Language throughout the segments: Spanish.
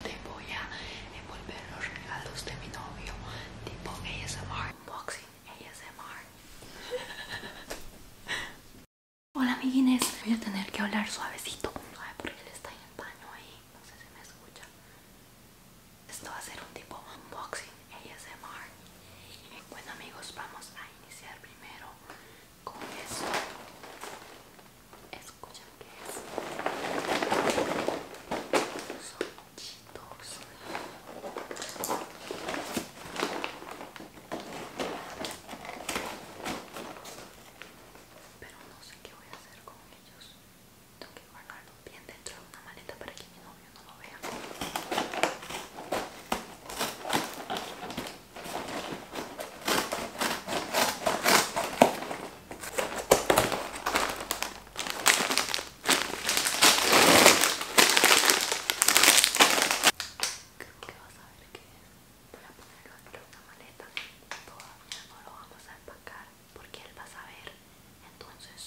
Te voy a envolver los regalos de mi novio, tipo ASMR, unboxing ASMR. Hola amiguines, voy a tener que hablar suavecito. por porque él está en el baño ahí, no sé si me escucha. Esto va a ser un tipo unboxing ASMR. Bueno amigos, vamos a iniciar primero con eso Escucha que es. Son chitos. Pero no sé qué voy a hacer con ellos. Tengo que guardarlos bien dentro de una maleta para que mi novio no lo vea. Creo que vas a ver que voy a ponerlo en una maleta. Todavía no lo vamos a empacar porque él va a saber. Entonces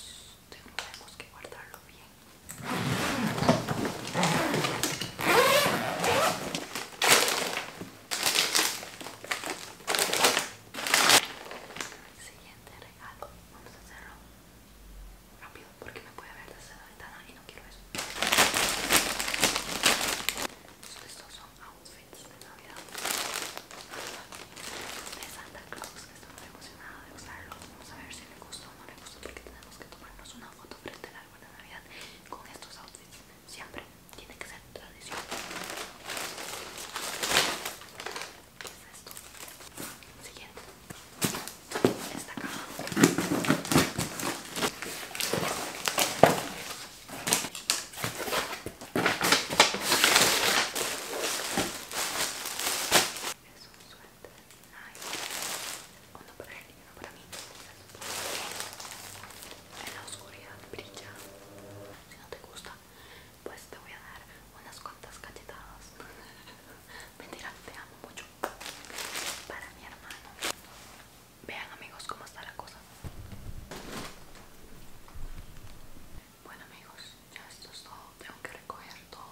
tenemos que guardarlo bien. Siguiente regalo. Vamos a hacerlo rápido porque me puede ver desde la ventana y no quiero eso. Estos son outfits de Navidad de Santa Claus. Estoy muy emocionada de usarlos. Vamos a ver si le gustó o no le gustó porque tenemos que tomarnos una foto frente al árbol de Navidad con estos outfits siempre tiene que ser tradición. ¿Qué es esto? Siguiente. Esta caja. Es un suéter. Ay. Uno para en la oscuridad brilla si no te gusta pues te voy a dar unas cuantas cachetadas mentira te amo mucho para mi hermano vean amigos como está la cosa bueno amigos ya esto es todo tengo que recoger todo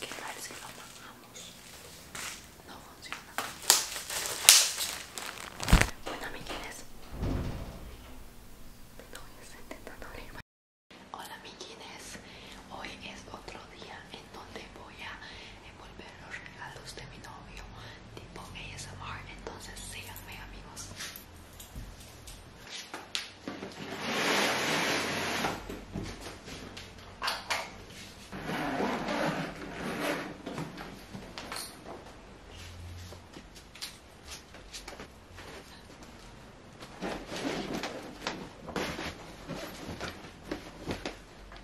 que parece si lo bajamos no funciona bueno Te estoy intentando abrirme hola amiguines hoy es otro día donde voy a envolver los regalos de mi novio tipo ASMR entonces síganme amigos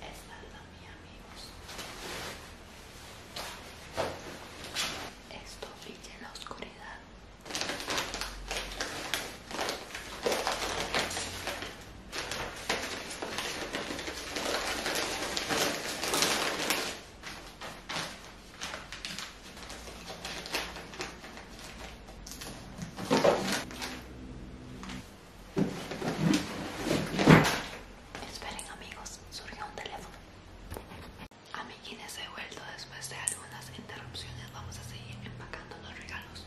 Esta es la, amigos. Esto brilla en la oscuridad. Esperen amigos, surgió un teléfono. Amiguines, he vuelto después de algunas interrupciones. Vamos a seguir empacando los regalos.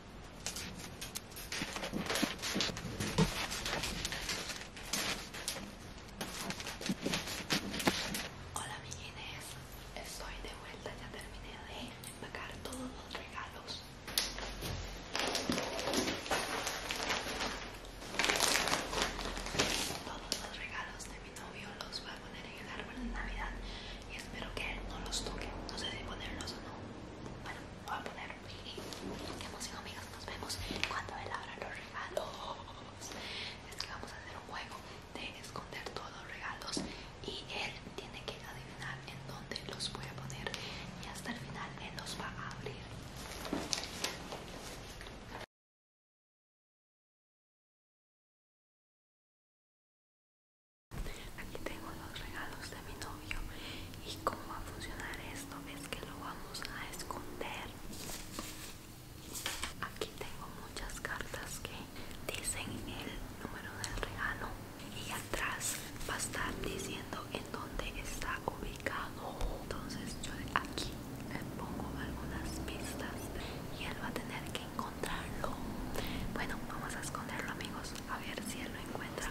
Hola mi Guinness, estoy de vuelta, ya terminé de empacar todos los regalos. Todos los regalos de mi novio los voy a poner en el árbol de Navidad y espero que él no los toque. No sé si ponerlos o no. Bueno, voy a ponerlos Qué emoción amigos, nos vemos cuando él abra los regalos. Es que vamos a hacer un juego de esconder todos los regalos y él tiene que adivinar en dónde los voy a poner y hasta el final él los va a abrir. Aquí tengo los regalos de mi novio. ¿Y cómo va a funcionar esto? Es que lo vamos a esconder. Aquí tengo muchas cartas que dicen el número del regalo. Y atrás va a estar diciendo en dónde está ubicado. Entonces yo aquí le pongo algunas pistas y él va a tener que encontrarlo. Bueno, vamos a esconderlo amigos. A ver si él lo encuentra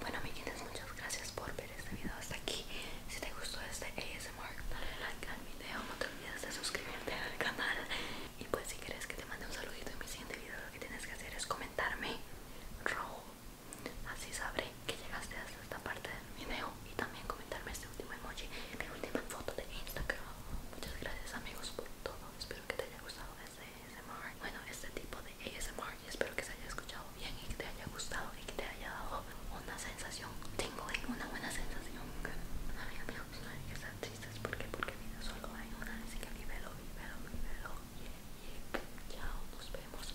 Bueno amiguitos, muchas gracias por ver este video hasta aquí. Si te gustó este darle dale like al video no te olvides de suscribirte al canal y pues si quieres que te mande un saludito en mi siguiente video lo que tienes que hacer es comentarme rojo así sabré que llegaste hasta esta parte del video y también comentarme este último emoji mi última foto de Instagram muchas gracias amigos por todo espero que te haya gustado este ASMR bueno este tipo de ASMR y espero que se haya escuchado bien y que te haya gustado que te haya dado una sensación. Tengo una buena sensación. Una amiga pues, no hay que estar tristes porque porque vida solo hay una, así que vívelo, vívelo, vívelo. lo nos vemos.